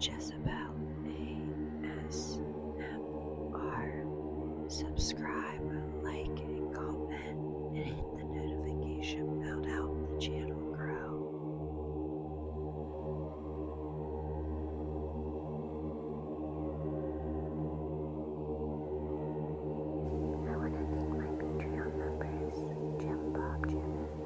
Jezebel ASMR. Subscribe, like, and comment, and hit the notification bell to help the channel grow. I want to thank my Patreon members Jim, Bob, Jim.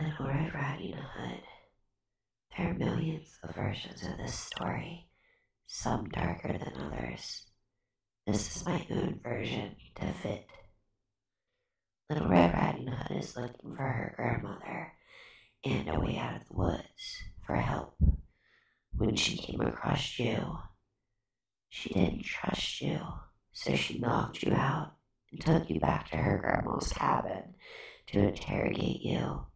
Little Red Riding Hood. There are millions of versions of this story, some darker than others. This is my own version to fit. Little Red Riding Hood is looking for her grandmother and a way out of the woods for help when she came across you. She didn't trust you, so she knocked you out and took you back to her grandmother's cabin to interrogate you.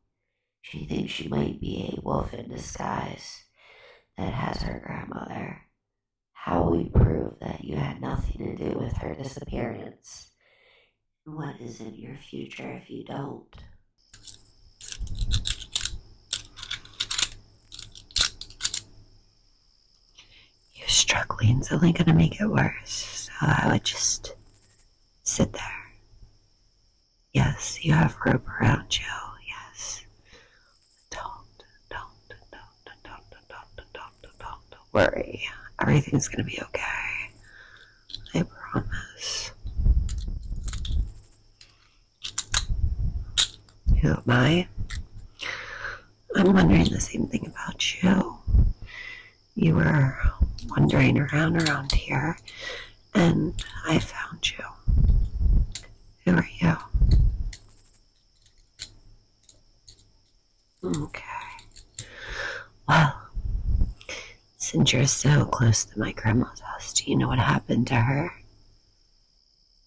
She thinks she might be a wolf in disguise that has her grandmother. How will we prove that you had nothing to do with her disappearance? what is in your future if you don't? You're struggling. It's only going to make it worse, so I would just sit there. Yes, you have rope around you. Yes. Don't, don't, don't, don't, don't, don't, don't, worry. Everything's going to be okay. I promise. You know, my, I'm wondering the same thing about you. You were wandering around around here, and I found you. Who are you? Okay. Well, since you're so close to my grandma's house, do you know what happened to her?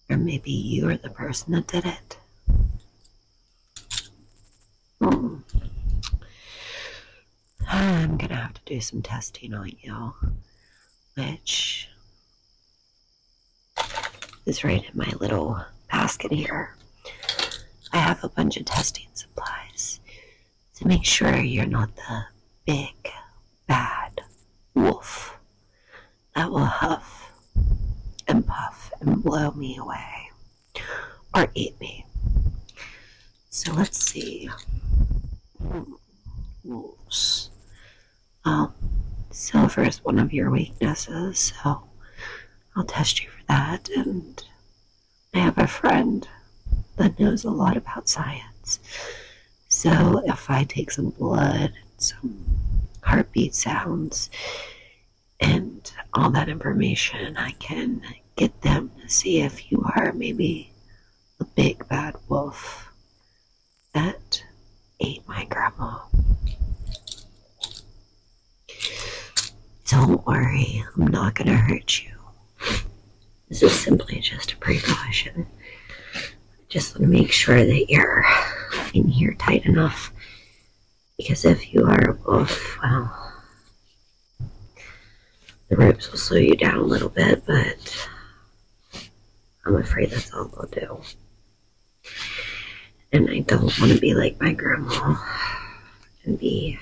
Or maybe you are the person that did it? Hmm. I'm gonna have to do some testing on you, which is right in my little basket here. I have a bunch of testing supplies to make sure you're not the big bad wolf that will huff and puff and blow me away or eat me. So let's see. Wolves. Um, silver is one of your weaknesses, so I'll test you for that. And I have a friend that knows a lot about science. So if I take some blood, some heartbeat sounds, and all that information, I can get them to see if you are maybe a big bad wolf that ate my grandma. Don't worry, I'm not gonna hurt you. This is simply just a precaution. Just want to make sure that you're in here tight enough. Because if you are a well, the ropes will slow you down a little bit, but I'm afraid that's all they'll do. And I don't want to be like my grandma and be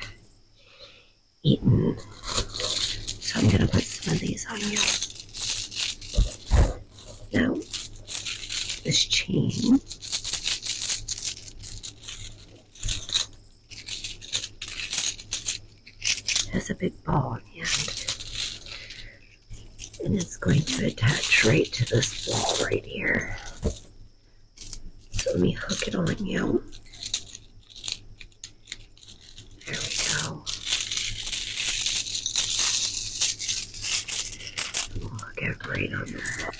eaten. So I'm going to put some of these on you. Now, this chain. has a big ball on the end. And it's going to attach right to this wall right here. So let me hook it on you. There we go. We'll right under. that.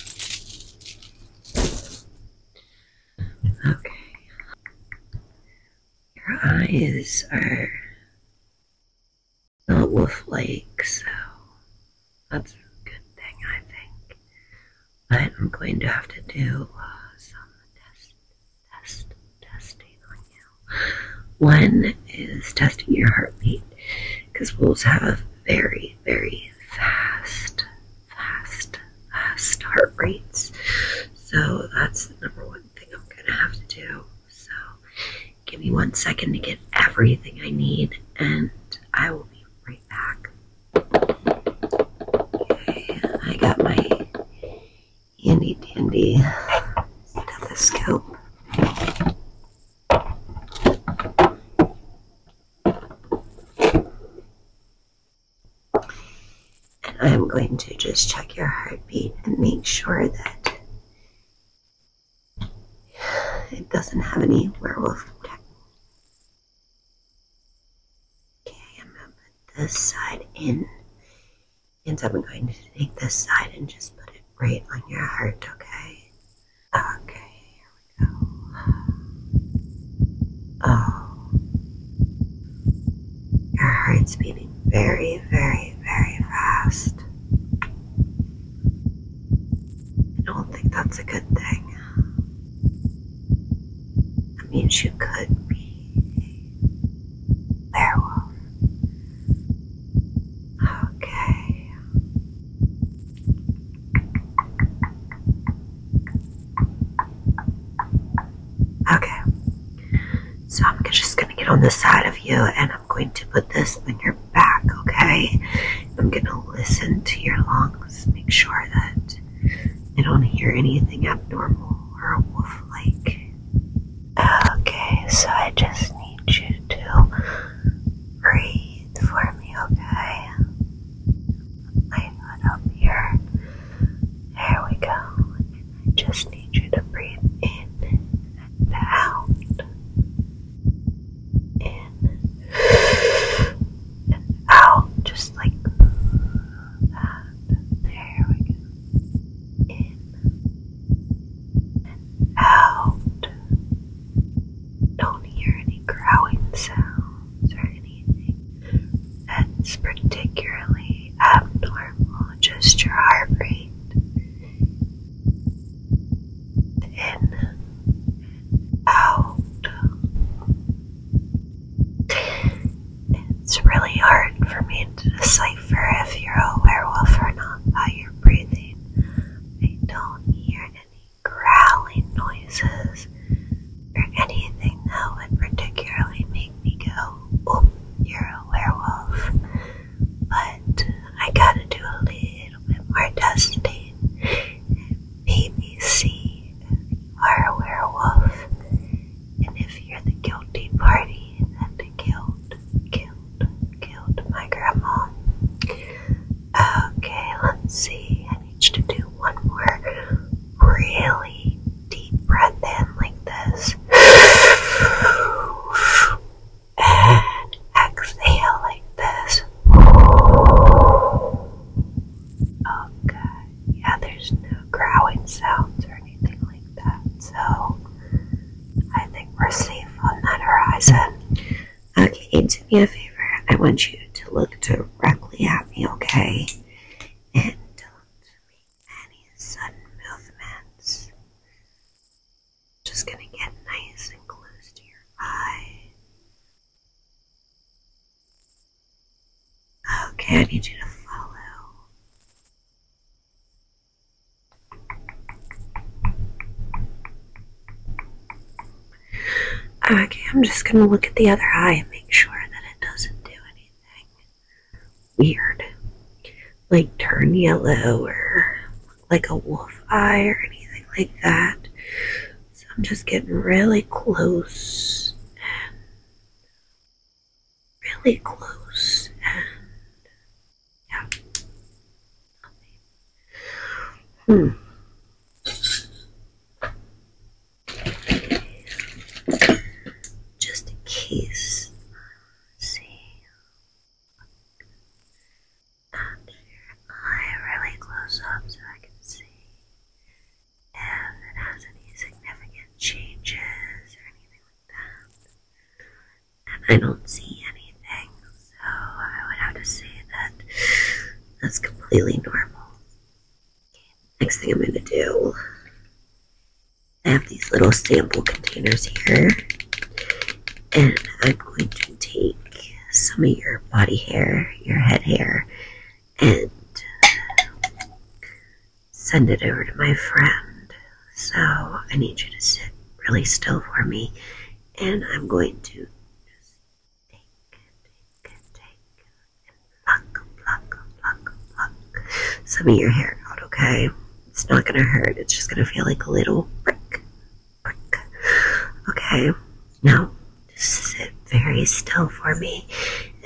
Okay. Your eyes are not wolf-like, so that's a good thing, I think but I'm going to have to do uh, some test, test, testing on you. One is testing your heartbeat because wolves have very, very fast, fast, fast heart rates. So that's the number one thing I'm going to have to do. So give me one second to get everything I need and I will be right back. I got my handy dandy stethoscope. And I'm going to just check your heartbeat and make sure that it doesn't have any werewolf Okay, I'm gonna put this side in. And I'm going to take this side and just put it right on your heart, okay? Okay, here we go. Oh. Your heart's beating very, very, very fast. I don't think that's a good thing. That means you could be a werewolf. Okay. Okay. So I'm just going to get on the side of you and I'm going to put this on your back, okay? I'm going to listen to your lungs, make sure that I don't hear anything abnormal or wolf like. Okay, so I just need you to breathe for me, okay? I'm not up here. There we go. I just need you to breathe in and out. In and oh, out, just like that. There we go. In out. Don't hear any growling sounds or anything that's particularly abnormal, just your heart rate. In, out, it's really hard for me to decipher if you're a werewolf or not by your breathing. I don't hear any growling noises or anything that would particularly make me go, oh, you're a werewolf. But I gotta do a little bit more testing. BBC are a werewolf, and if you're the guilty party that killed, killed, killed my grandma. Okay, let's see. I need you to do one more really deep breath in like this. And exhale like Okay, yeah, there's no growling sounds or anything like that, so I think we're safe on that horizon. Okay, do me a favor. I want you to look directly at me, okay? And don't make any sudden movements. Just gonna get nice and close to your eye. Okay, I need you to follow. Okay, I'm just gonna look at the other eye and make sure that it doesn't do anything weird. Like turn yellow or like a wolf eye or anything like that. So I'm just getting really close and really close and yeah. Just in case and really close up so I can see if it has any significant changes or anything like that. And I don't see anything, so I would have to say that that's completely normal. Next thing I'm going to do, I have these little sample containers here, and I'm going to take some of your body hair, your head hair, and send it over to my friend. So I need you to sit really still for me, and I'm going to just take, take, take, and pluck, pluck, pluck, pluck some of your hair out, okay? It's not gonna hurt, it's just gonna feel like a little prick. Okay, now just sit very still for me,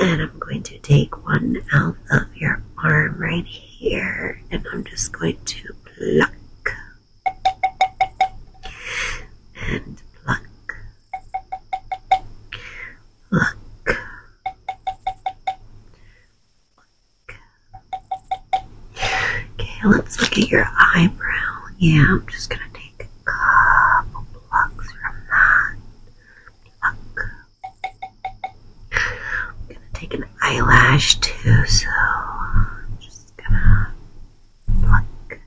and I'm going to take one out of your arm right here, and I'm just going to pluck and pluck, pluck. Pluck. Okay, let's look at your eyebrow. Yeah, I'm just gonna take a couple plucks from that. Pluck. I'm gonna take an eyelash too, so I'm just gonna pluck.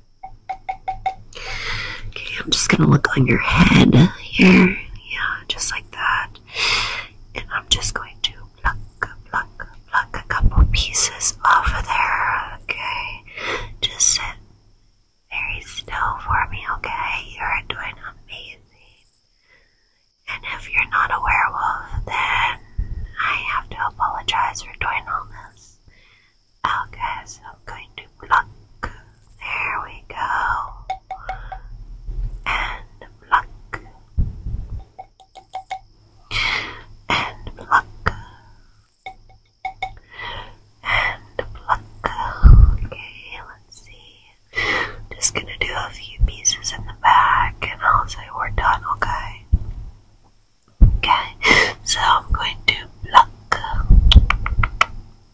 Okay, I'm just gonna look on your head here. Yeah, just like that. And I'm just going to pluck, pluck, pluck a couple pieces off of there, okay? Just sit very still for me, okay? You're doing amazing. And if you're not a werewolf, then I have to apologize for doing all this. Okay, so I'm going to pluck. There we go. And pluck and pluck and pluck. Okay, let's see. Just gonna do a few pieces in the back, and I'll say we're done. Okay. Okay. So I'm going to pluck.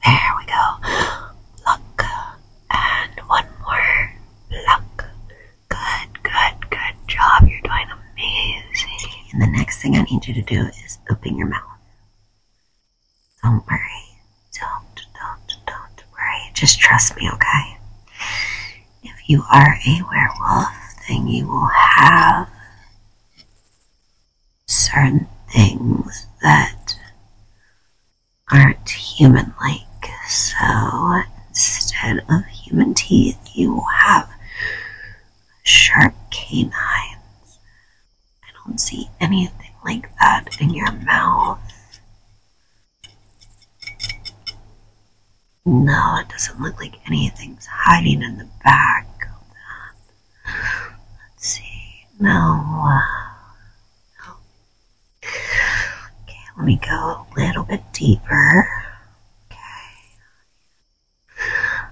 There we go. Pluck and one more pluck. Good, good, good job. You're doing amazing. And the next thing I need you to do is open your mouth. Don't worry. Don't, don't, don't worry. Just trust me, okay? If you are a werewolf, then you will have certain things that aren't human like. So Instead of human teeth, you will have sharp canines. I don't see anything like that in your mouth. No, it doesn't look like anything's hiding in the back of that. Let's see. no. Okay, let me go a little bit deeper. Okay.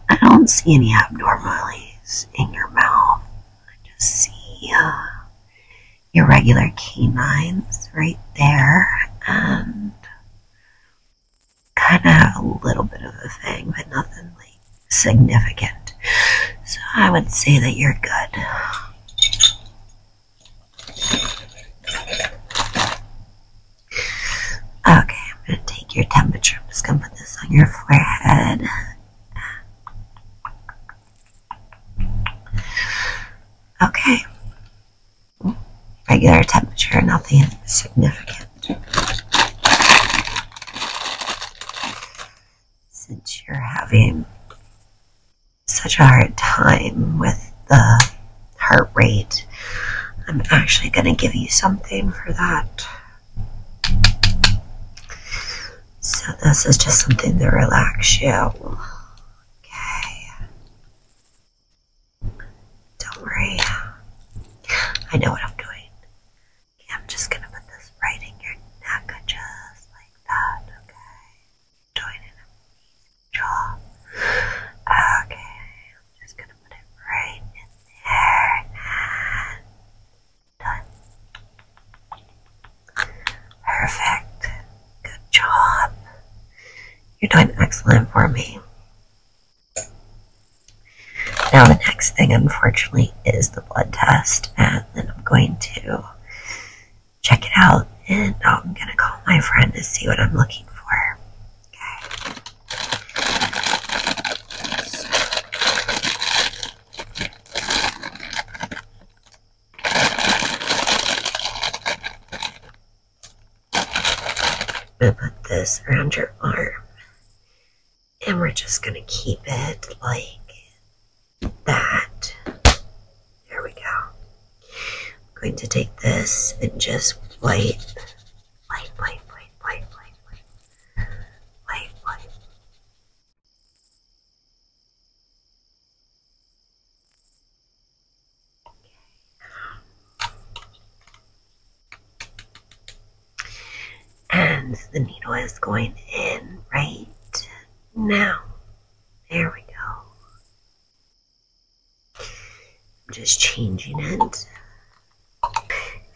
I don't see any abnormalities in your mouth. I just see uh, your regular canines right there and kind of a little bit of a thing, but nothing like significant. So I would say that you're good. Okay, I'm going to take your temperature. I'm just going to put this on your forehead. Okay. Regular temperature, nothing significant. Since you're having such a hard time with the heart rate. I'm actually going to give you something for that. So this is just something to relax you. Okay. Don't worry. I know what I'm doing. Okay, I'm just going to put this right in your neck just like that. Okay doing an job. Okay, I'm just gonna put it right in there and done. Perfect. Good job. You're doing excellent for me. Now the next thing, unfortunately, is the blood test, and then I'm going to check it out, and I'm gonna call my friend to see what I'm looking for. Okay. I'm gonna put this around your arm, and we're just gonna keep it like that. There we go. I'm going to take this and just wipe. Wipe, wipe, wipe, wipe, wipe, wipe. Wipe, wipe. And the needle is going in right now. There we go. I'm just changing it.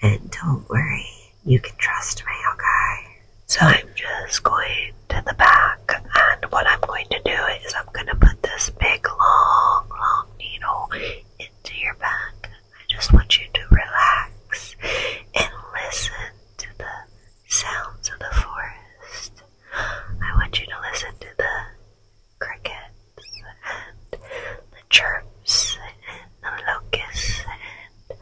And don't worry, you can trust me, okay? So I'm just going to the back and what I'm going to do is I'm going to put this big long, long needle into your back. I just want you to relax and listen to the sounds of the forest. I want you to listen to the crickets and the chirps and the locusts and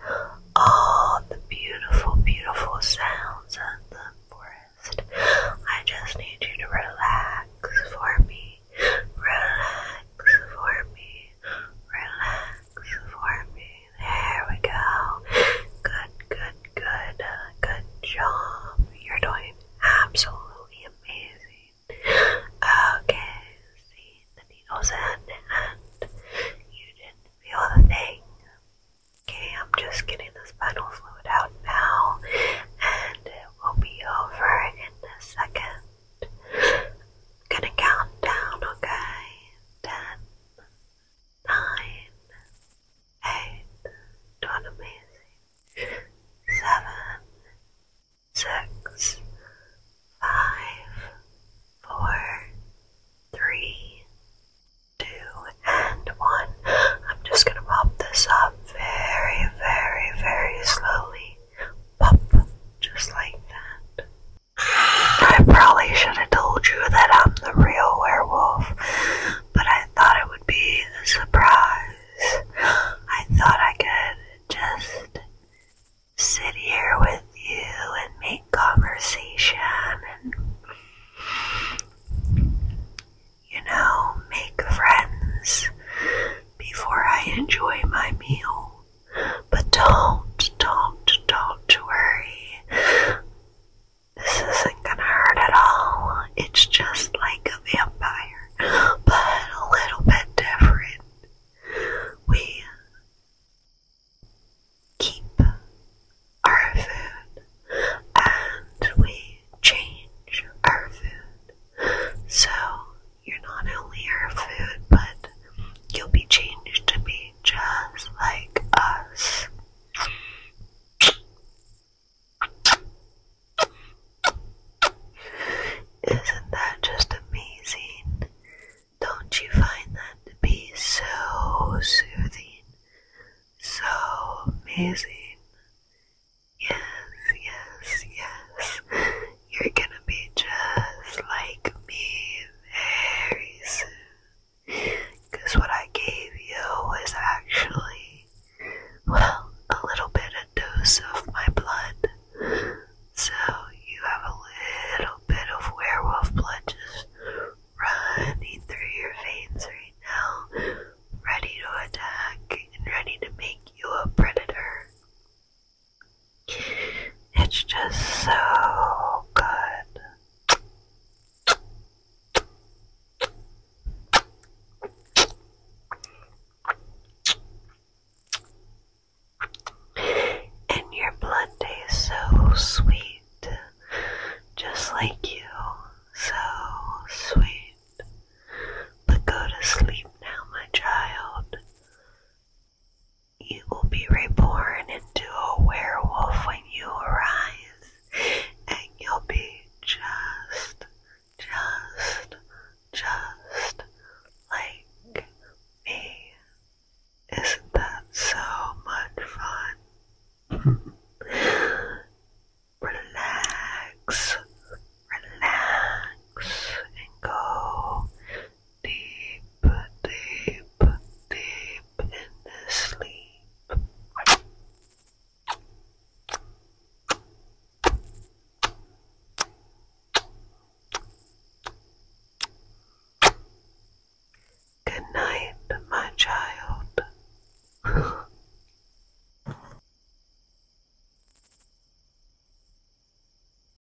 all the beautiful, beautiful sounds of the forest. I just need you to relax for me. Relax for me. Relax for me. There we go. Good, good, good. Uh, good job. You're doing absolutely amazing. Okay, see the needles in and you didn't feel the thing. Okay, I'm just getting the spinal fluid out now and it will be over in a second. I'm gonna count down, okay? 10, nine, eight, not amazing, seven, six, five, four, three, two, and one. I'm just gonna pop this up very, very, very slowly. Pop, just like that. I probably should have told you that I'm the real werewolf, but I thought it would be a surprise. I thought I could just sit here with you and make conversation and, you know, make friends before I enjoy my meal. But don't, don't, don't worry. This isn't gonna hurt at all. It's just like a vampire, but a little bit different. We keep our food and we change our food. So you're not only our food, but you'll be changed to be just like us. Isn't that just amazing? Don't you find that to be so soothing? So amazing? Yes, yes, yes. You're gonna be just like me very soon. Because what I gave you was actually, well, a little bit of dose of my blood. So you have a little bit of werewolf blood just running through your veins right now, ready to attack and ready to make you a predator. It's just so good. And your blonde is so sweet, just like you, so sweet. But go to sleep now, my child. You will be reborn into a werewolf when you arise, and you'll be just, just, just like me. Isn't that so much fun? relax, relax, and go deep, deep, deep into sleep. Good night, my child.